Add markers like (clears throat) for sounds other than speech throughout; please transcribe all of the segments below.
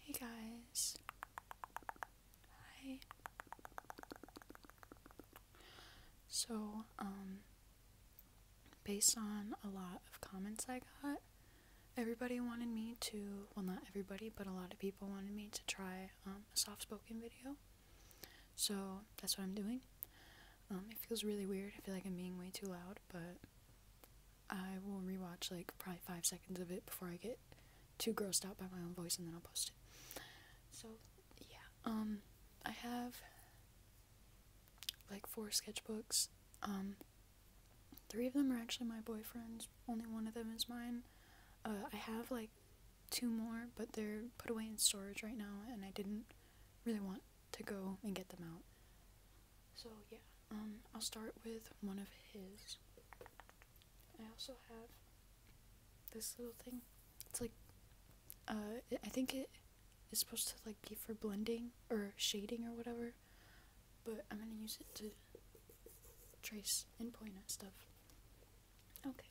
Hey guys. Hi. So, um, based on a lot of comments I got, everybody wanted me to, well, not everybody, but a lot of people wanted me to try um, a soft spoken video. So, that's what I'm doing. Um, it feels really weird. I feel like I'm being way too loud, but I will rewatch like probably five seconds of it before I get too grossed out by my own voice and then I'll post it. So yeah, um, I have like four sketchbooks. Um, three of them are actually my boyfriend's. Only one of them is mine. Uh, I have like two more, but they're put away in storage right now, and I didn't really want to go and get them out. So yeah, um, I'll start with one of his. I also have this little thing. It's like, uh, I think it is supposed to like be for blending or shading or whatever, but I'm gonna use it to trace and point at stuff. Okay.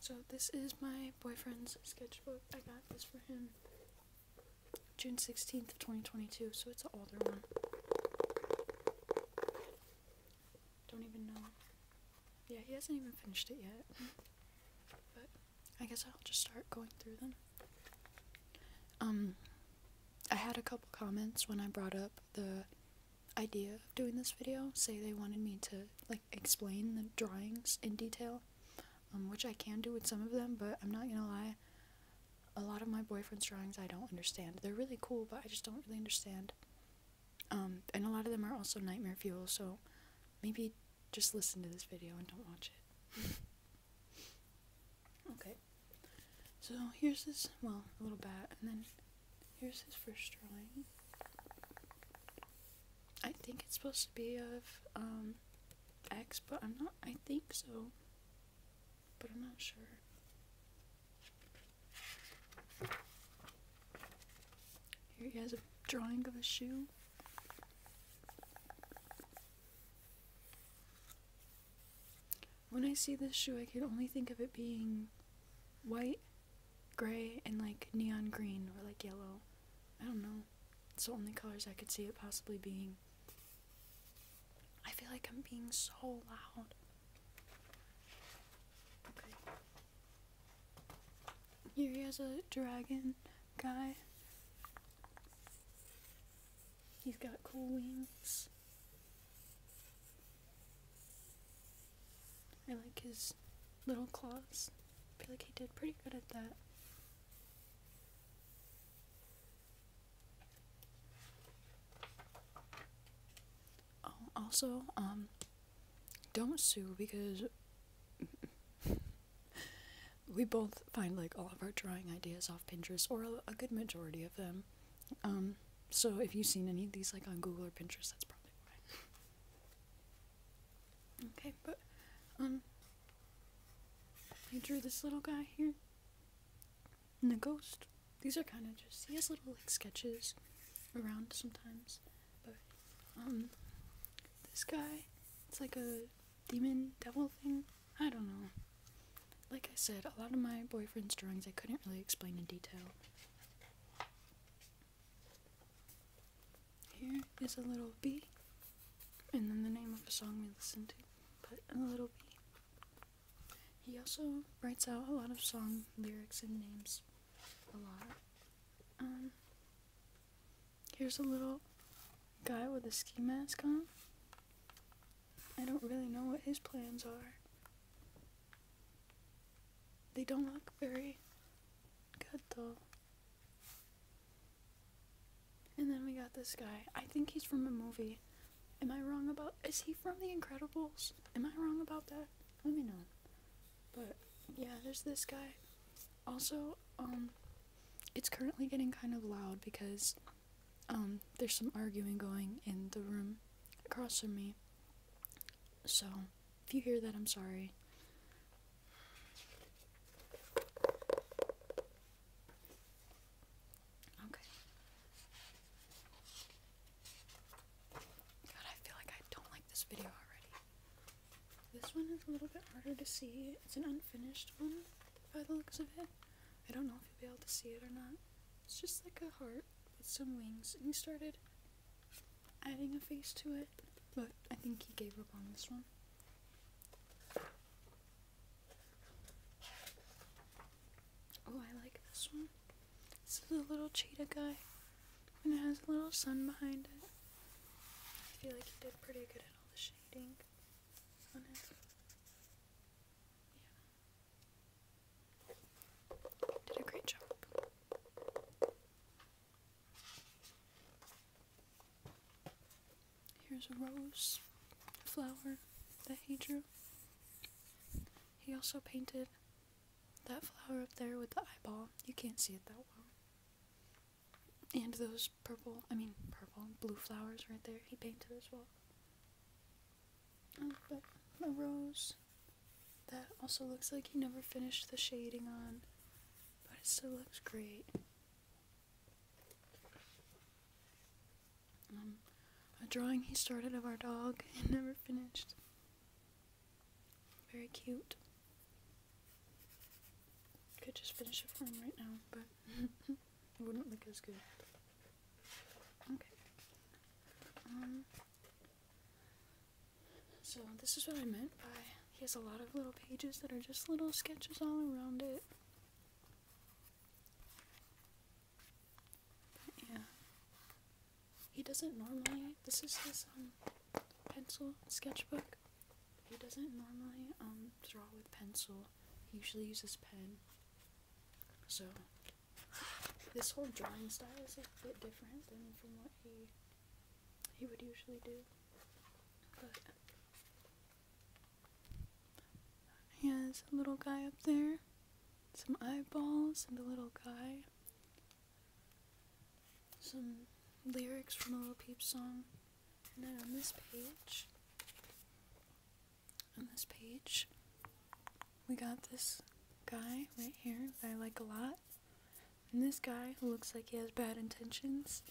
So this is my boyfriend's sketchbook. I got this for him June 16th of 2022, so it's an older one. Don't even know. Yeah, he hasn't even finished it yet. but I guess I'll just start going through them. Um, I had a couple comments when I brought up the idea of doing this video say they wanted me to like explain the drawings in detail um, which I can do with some of them but I'm not gonna lie a lot of my boyfriend's drawings I don't understand. They're really cool, but I just don't really understand. Um, and a lot of them are also nightmare fuel, so maybe just listen to this video and don't watch it. (laughs) okay. So here's this, well, little bat, and then here's his first drawing. I think it's supposed to be of, um, X, but I'm not, I think so but I'm not sure. Here he has a drawing of a shoe. When I see this shoe, I can only think of it being white, gray, and like neon green or like yellow. I don't know. It's the only colors I could see it possibly being. I feel like I'm being so loud. Okay. Here he has a dragon guy. He's got cool wings. I like his little claws. I feel like he did pretty good at that. Also, um, don't sue because (laughs) we both find like all of our drawing ideas off Pinterest or a, good majority of them. Um, so if you've seen any of these like on Google or Pinterest, that's probably why. okay, but um, I drew this little guy here and the ghost. These are kind of just, he has little like sketches around sometimes, but um, this guy, it's like a demon devil thing. I don't know. Like I said, a lot of my boyfriend's drawings I couldn't really explain in detail. Here is a little b, and then the name of a song we listened to, but a little b. He also writes out a lot of song lyrics and names. A lot. Um, here's a little guy with a ski mask on. I don't really know what his plans are. They don't look very good though. And then we got this guy. I think he's from a movie. Am I wrong about is he from The Incredibles? Am I wrong about that? Let me know. But yeah, there's this guy. Also, um it's currently getting kind of loud because um there's some arguing going in the room across from me. So, if you hear that, I'm sorry. Okay. God, I feel like I don't like this video already. This one is a little bit harder to see. It's an unfinished one, by the looks of it. I don't know if you'll be able to see it or not. It's just like a heart with some wings, and he started adding a face to it, but I think he gave up on this one. Oh, I like this one. This is a little cheetah guy. And it has a little sun behind it. I feel like he did pretty good at all the shading Did a great job. Here's a rose flower that he drew. He also painted that flower up there with the eyeball. You can't see it that well. And those purple, I mean, purple, blue flowers right there, he painted as well. Oh, but the rose that also looks like he never finished the shading on, but it still looks great. Um, a drawing he started of our dog and never finished. Very cute. Could just finish it for him right now, but (laughs) it wouldn't look as good. Okay. Um, so this is what I meant by he has a lot of little pages that are just little sketches all around it yeah. He doesn't normally this is his um pencil sketchbook. He doesn't normally um draw with pencil. He usually uses pen. So this whole drawing style is a bit different than from what he he would usually do. He has a little guy up there, some eyeballs, and a little guy. Some lyrics from a Little Peep song. And then on this page, on this page, we got this guy right here that I like a lot. And this guy who looks like he has bad intentions.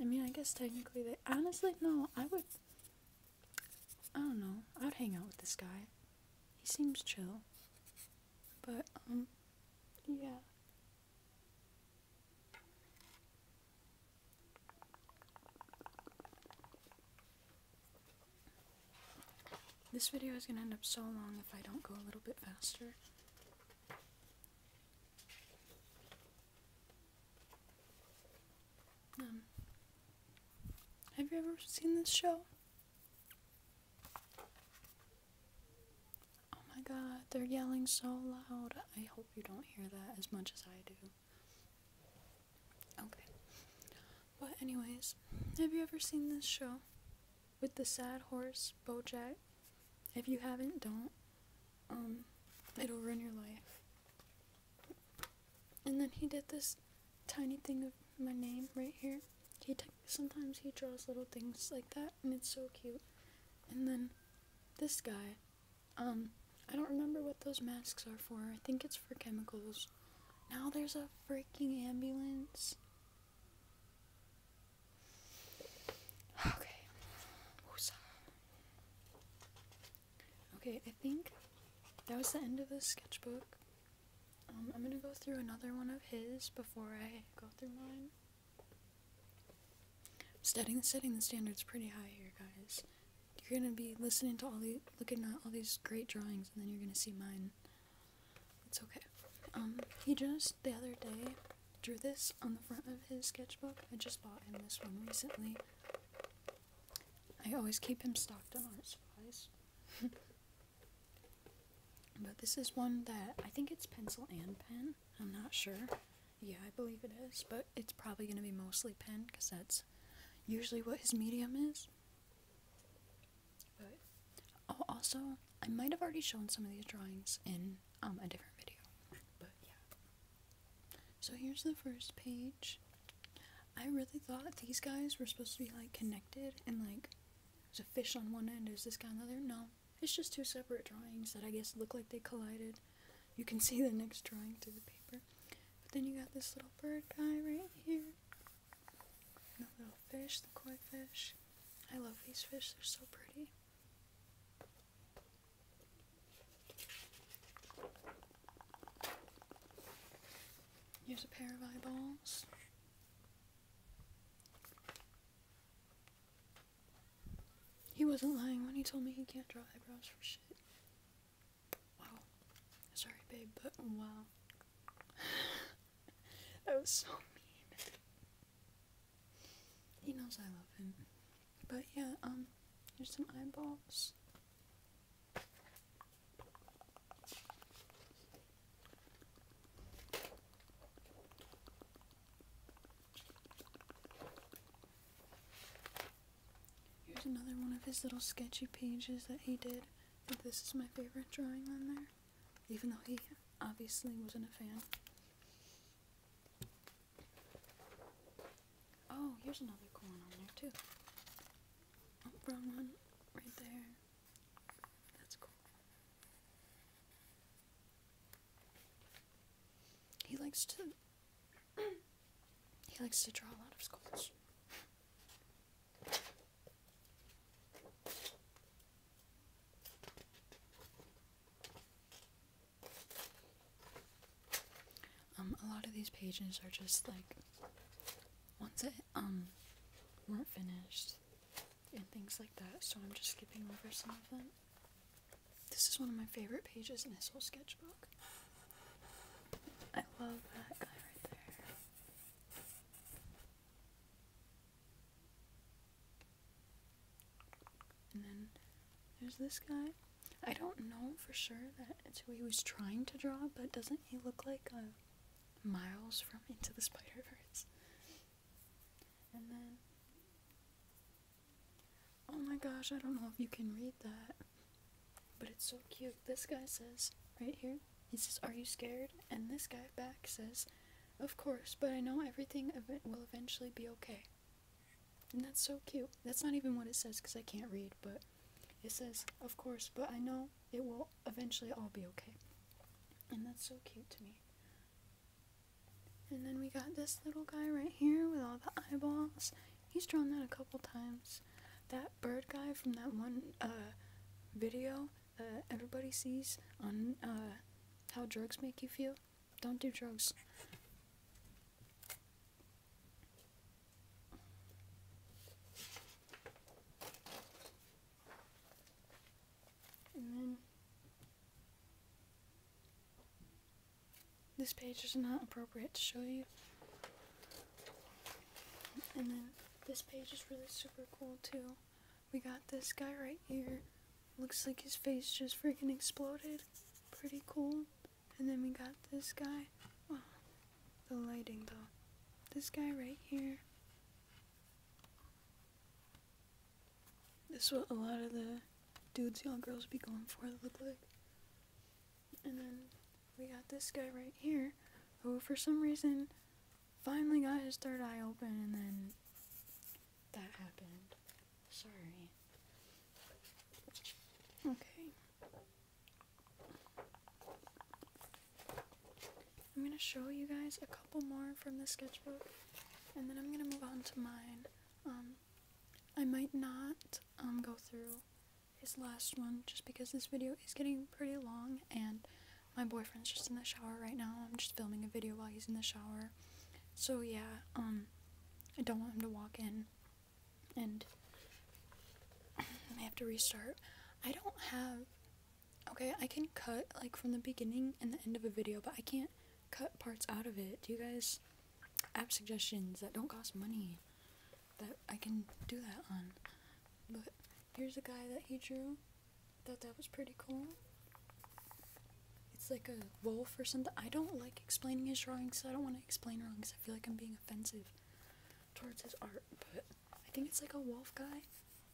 I mean, I guess technically they. Honestly, no, I would. I don't know. I'd hang out with this guy. He seems chill. But, um, yeah. This video is gonna end up so long if I don't go a little bit faster. Um, have you ever seen this show? Oh my god, they're yelling so loud. I hope you don't hear that as much as I do. Okay. But, anyways, have you ever seen this show with the sad horse, Bojack? If you haven't, don't. Um, it'll ruin your life. And then he did this tiny thing of my name right here. He sometimes he draws little things like that, and it's so cute. And then this guy, um, I don't remember what those masks are for. I think it's for chemicals. Now there's a freaking ambulance. (sighs) Okay. Okay, I think that was the end of the sketchbook. Um, I'm gonna go through another one of his before I go through mine. Setting setting the standards pretty high here, guys. You're gonna be listening to all these, looking at all these great drawings, and then you're gonna see mine. It's okay. Um, he just the other day drew this on the front of his sketchbook. I just bought him this one recently. I always keep him stocked on art supplies. but this is one that I think it's pencil and pen. I'm not sure. Yeah, I believe it is, but it's probably going to be mostly pen because that's usually what his medium is. oh, also, I might have already shown some of these drawings in um, a different video. But yeah. So here's the first page. I really thought these guys were supposed to be like connected and like there's a fish on one end, there's this guy on the other. No, it's just two separate drawings that I guess look like they collided. You can see the next drawing through the paper. But then you got this little bird guy right here. the little fish, the koi fish. I love these fish, they're so pretty. Here's a pair of eyeballs. He wasn't lying when he told me he can't draw eyebrows for shit. Wow. Sorry, babe, but wow. (laughs) that was so mean. He knows I love him. But yeah, um, here's some eyeballs. Here's another one of his little sketchy pages that he did. And this is my favorite drawing on there, even though he obviously wasn't a fan. Oh, here's another cool one on there too. Oh, wrong one, right there. That's cool. He likes to. he likes to draw a lot of skulls. Um, a lot of these pages are just like once that um weren't finished and things like that, so I'm just skipping over some of them. This is one of my favorite pages in this whole sketchbook. I love that guy right there. And then there's this guy. I don't know for sure that it's who he was trying to draw, but doesn't he look like a uh, Miles from Into the Spider Verse? And then, oh my gosh, I don't know if you can read that, but it's so cute. This guy says, right here, he says, Are you scared? And this guy back says, Of course, but I know everything will eventually be okay. And that's so cute. That's not even what it says because I can't read, but it says, of course, but I know it will eventually all be okay. And that's so cute to me. And then we got this little guy right here with all the eyeballs. He's drawn that a couple times. That bird guy from that one uh, video everybody sees on uh, how drugs make you feel. Don't do drugs this page is not appropriate to show you. And then this page is really super cool too. We got this guy right here. Looks like his face just freaking exploded. Pretty cool. And then we got this guy. Oh, the lighting though. This guy right here. This is what a lot of the dudes young all girls be going for look like. And then we got this guy right here who for some reason finally got his third eye open and then that happened. Sorry. Okay. I'm going to show you guys a couple more from the sketchbook and then I'm going to move on to mine. Um, I might not um, go through his last one just because this video is getting pretty long and my boyfriend's just in the shower right now. I'm just filming a video while he's in the shower. So yeah, um, I don't want him to walk in and I have to restart. I don't have. Okay, I can cut like from the beginning and the end of a video, but I can't cut parts out of it. Do you guys have suggestions that don't cost money that I can do that on? But here's a guy that he drew. Thought that was pretty cool. It's like a wolf or something. I don't like explaining his drawing, so I don't want to explain wrong, cause I feel like I'm being offensive towards his art, but I think it's like a wolf guy,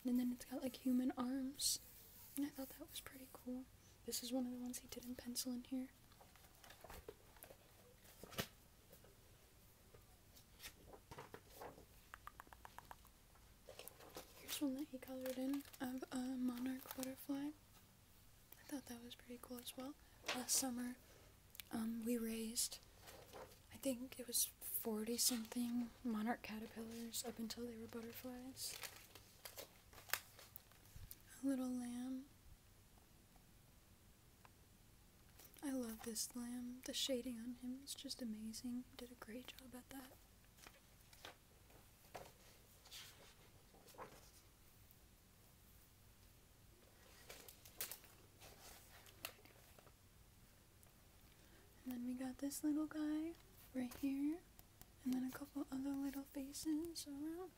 and then it's got like human arms, and I thought that was pretty cool. This is one of the ones he did in pencil in here. Here's one that he colored in of a monarch butterfly. I thought that was pretty cool as well. Last summer, um, we raised, I think it was 40 something monarch caterpillars up until they were butterflies. A little lamb. I love this lamb. The shading on him is just amazing. did a great job at that. And then we got this little guy right here. And then a couple other little faces around.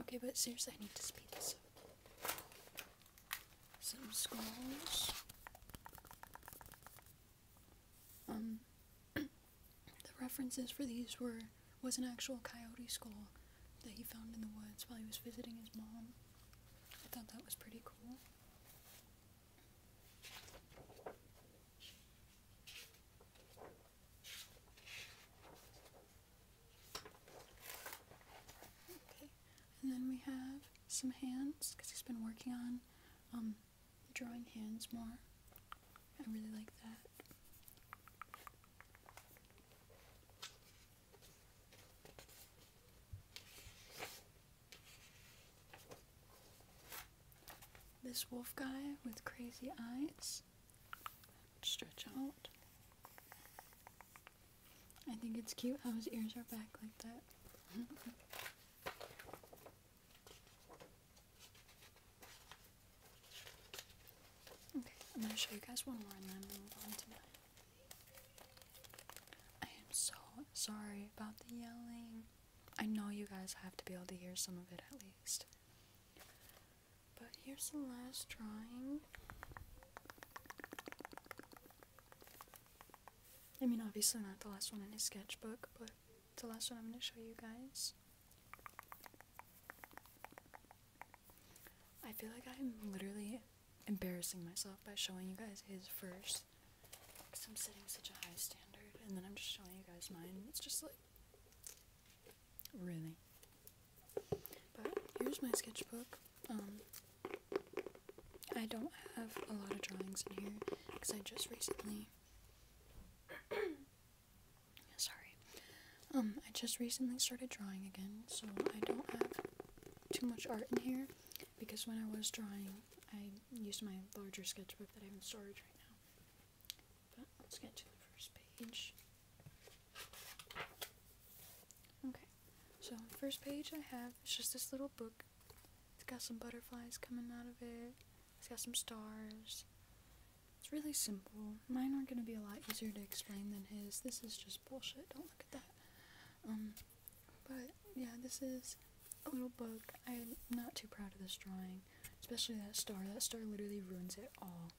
Okay, but seriously, I need to speed this up. Some scrolls. Um, (clears throat) the references for these were was an actual coyote skull that he found in the woods while he was visiting his mom. I thought that was pretty cool. Okay, and then we have some hands because he's been working on um, drawing hands more. I really like that. This wolf guy with crazy eyes. Stretch out. I think it's cute how his ears are back like that. (laughs) Okay, I'm gonna show you guys one more and then I'm gonna move on to my. I am so sorry about the yelling. I know you guys have to be able to hear some of it at least. But here's the last drawing. I mean, obviously not the last one in his sketchbook, but the last one I'm going to show you guys. I feel like I'm literally embarrassing myself by showing you guys his first. Because I'm setting such a high standard, and then I'm just showing you guys mine. It's just like. Really. But here's my sketchbook. Um, I don't have a lot of drawings in here because I just recently Sorry. Um, I just recently started drawing again, so I don't have too much art in here because when I was drawing, I used my larger sketchbook that I have in storage right now. But let's get to the first page. Okay, so first page I have is just this little book. It's got some butterflies coming out of it. It's got some stars. It's really simple. Mine are gonna be a lot easier to explain than his. This is just bullshit. Don't look at that. Um, but yeah, this is a little book. I'm not too proud of this drawing, especially that star. That star literally ruins it all.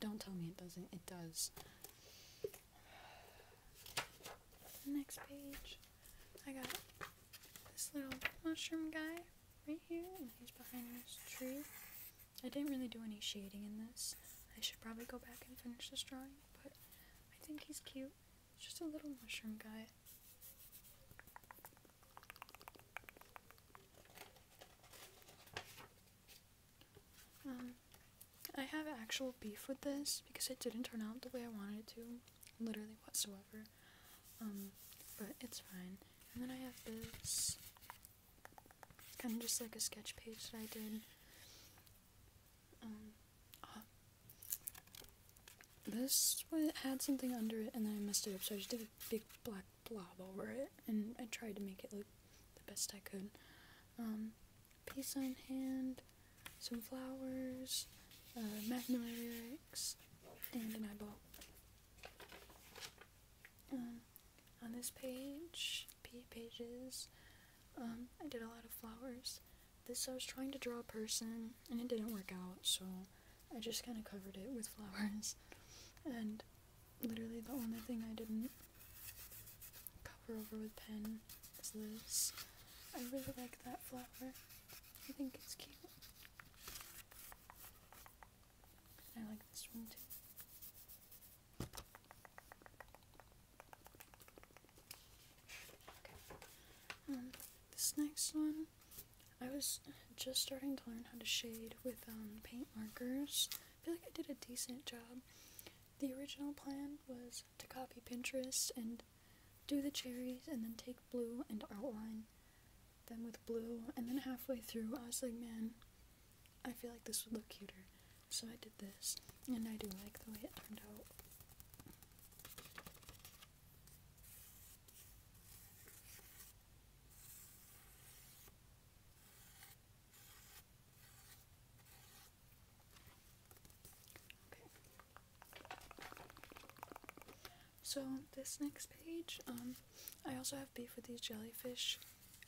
Don't tell me it doesn't. It does. Next page, I got this little mushroom guy right here, and he's behind this tree. I didn't really do any shading in this. I should probably go back and finish this drawing, but I think he's cute. just a little mushroom guy. Um, I have actual beef with this because it didn't turn out the way I wanted it to, literally whatsoever. Um, but it's fine. And then I have this Kind of just like a sketch page that I did. Um, ah. This had something under it and then I messed it up, so I just did a big black blob over it and I tried to make it look the best I could. Um, piece on hand, some flowers, uh, Magnolia lyrics, and an eyeball. Um, on this page, P pages, um, I did a lot of flowers. This I was trying to draw a person, and it didn't work out, so I just kind of covered it with flowers. And literally the only thing I didn't cover over with pen is this. I really like that flower. I think it's cute. I like this one too. Okay. Um, this next one, I was just starting to learn how to shade with um, paint markers. I feel like I did a decent job. The original plan was to copy Pinterest and do the cherries and then take blue and outline them with blue. And then halfway through, I was like, man, I feel like this would look cuter. So I did this, and I do like the way it turned out. Okay. So this next page, um, I also have beef with these jellyfish.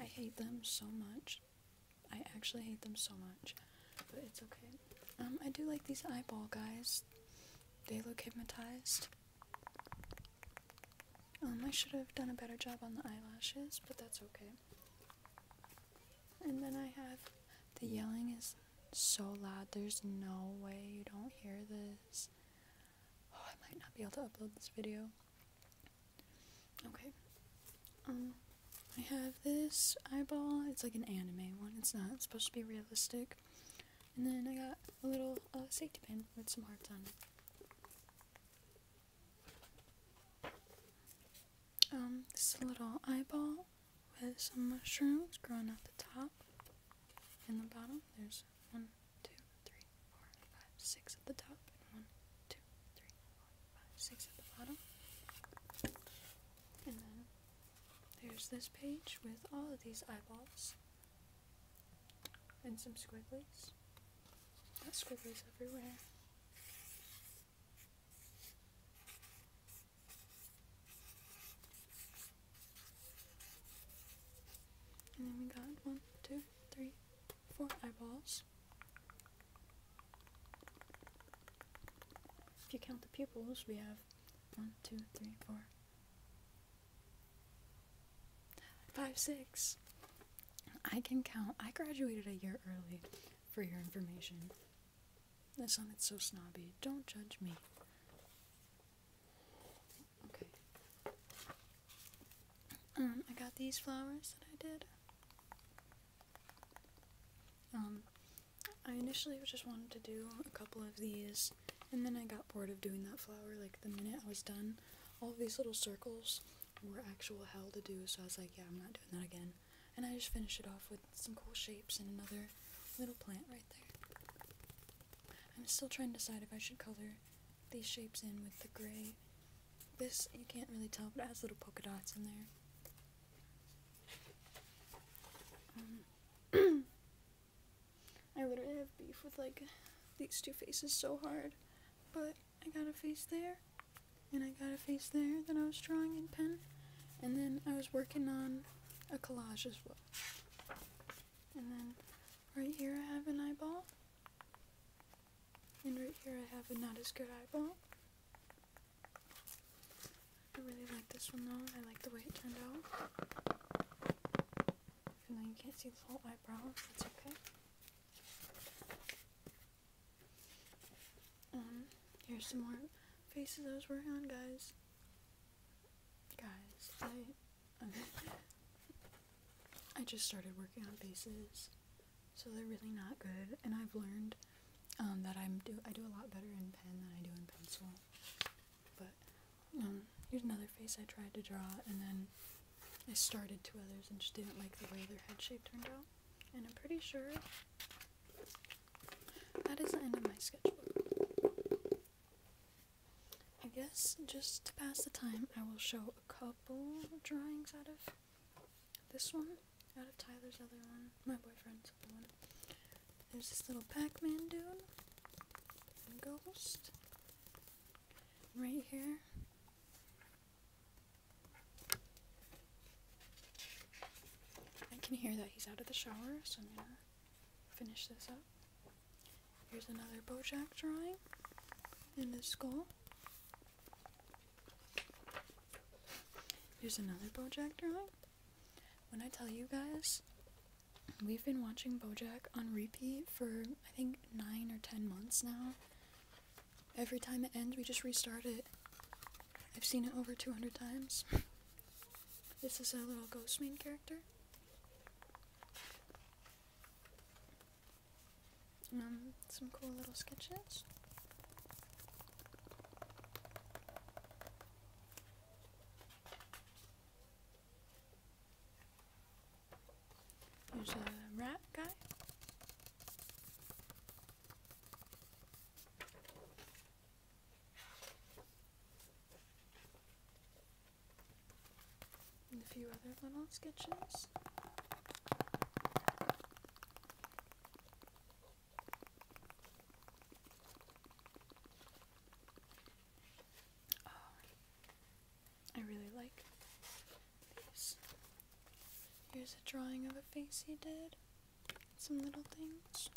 I hate them so much. I actually hate them so much, but it's okay. Um, I do like these eyeball guys. They look hypnotized. Um, I should have done a better job on the eyelashes, but that's okay. And then I have the yelling is so loud. There's no way you don't hear this. Oh, I might not be able to upload this video. Okay. Um, I have this eyeball. It's like an anime one. It's not supposed to be realistic. And then I got a little uh, safety pin with some hearts on it. Um, this little eyeball with some mushrooms growing out the top In the bottom. There's one two, three, four, five, six at the top, one, two, three, four, five, six at the bottom. And then there's this page with all of these eyeballs and some squiggles. Got squigglies everywhere. And then we got one, two, three, Four eyeballs. If you count the pupils, we have one, two, three, four, five, six. I can count. I graduated a year early for your information. This That sounded so snobby. Don't judge me. Okay. Um, I got these flowers that I did. Um, I initially just wanted to do a couple of these, and then I got bored of doing that flower, like, the minute I was done. All these little circles were actual hell to do, so I was like, yeah, I'm not doing that again. And I just finished it off with some cool shapes and another little plant right there. I'm still trying to decide if I should color these shapes in with the gray. This, you can't really tell, but it has little polka dots in there. Um, (clears throat) I literally have beef with, like, these two faces so hard. But I got a face there, and I got a face there that I was drawing in pen. And then I was working on a collage as well. And then right here I have an eyeball. And right here I have a not as good eyeball. I really like this one though. I like the way it turned out. Even though you can't see the whole eyebrow, that's okay. Um, here's some more faces I was working on, guys. Guys, I... Okay. (laughs) I just started working on faces, so they're really not good, and I've learned um, that I'm do I do a lot better in pen than I do in pencil. But um, here's another face I tried to draw, and then I started two others and just didn't like the way their head shape turned out. And I'm pretty sure that is the end of my sketchbook. I guess just to pass the time, I will show a co drawings out of this one, out of Tyler's other one, my boyfriend's other one. There's this little Pac-Man dude, and ghost, right here. I can hear that he's out of the shower, so I'm gonna finish this up. Here's another Bojack drawing, and this skull. Here's another Bojack drawing. When I tell you guys, we've been watching Bojack on repeat for I think nine or ten months now. Every time it ends, we just restart it. I've seen it over 200 times. (laughs) This is a little ghost main character. Um, some cool little sketches. There's a rat guy and a few other little sketches. Oh, I really like these. Here's a drawing of a face he did. Some little things.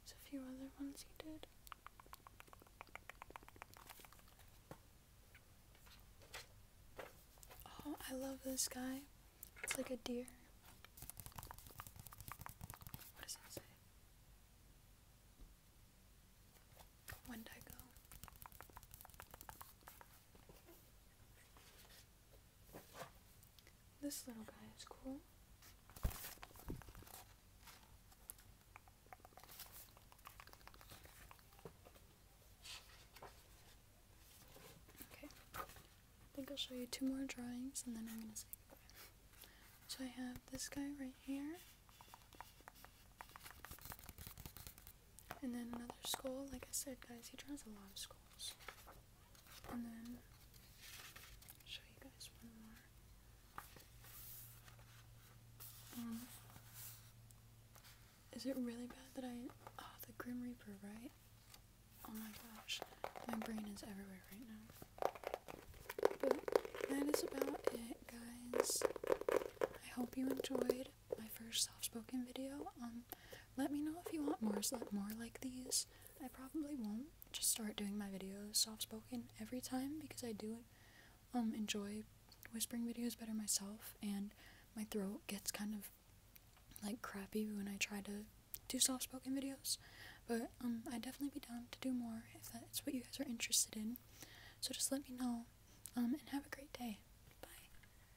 There's a few other ones he did. Oh, I love this guy. It's like a deer. What does it say? Wendigo. This little guy is cool. Okay, I think I'll show you two more drawings and then I'm gonna say So I have this guy right here. And then another skull. Like I said, guys, he draws a lot of skulls. And then show you guys one more. Um, is it really bad that I? Oh, the Grim Reaper, right? Oh my gosh, my brain is everywhere right now. But that is about it, guys. I hope you enjoyed my first soft-spoken video. Um, let me know if you want more, more like these. I probably won't just start doing my videos soft-spoken every time because I do um, enjoy whispering videos better myself and my throat gets kind of like crappy when I try to do soft-spoken videos. But um, I'd definitely be down to do more if that's what you guys are interested in. So just let me know um, and have a great day. Bye.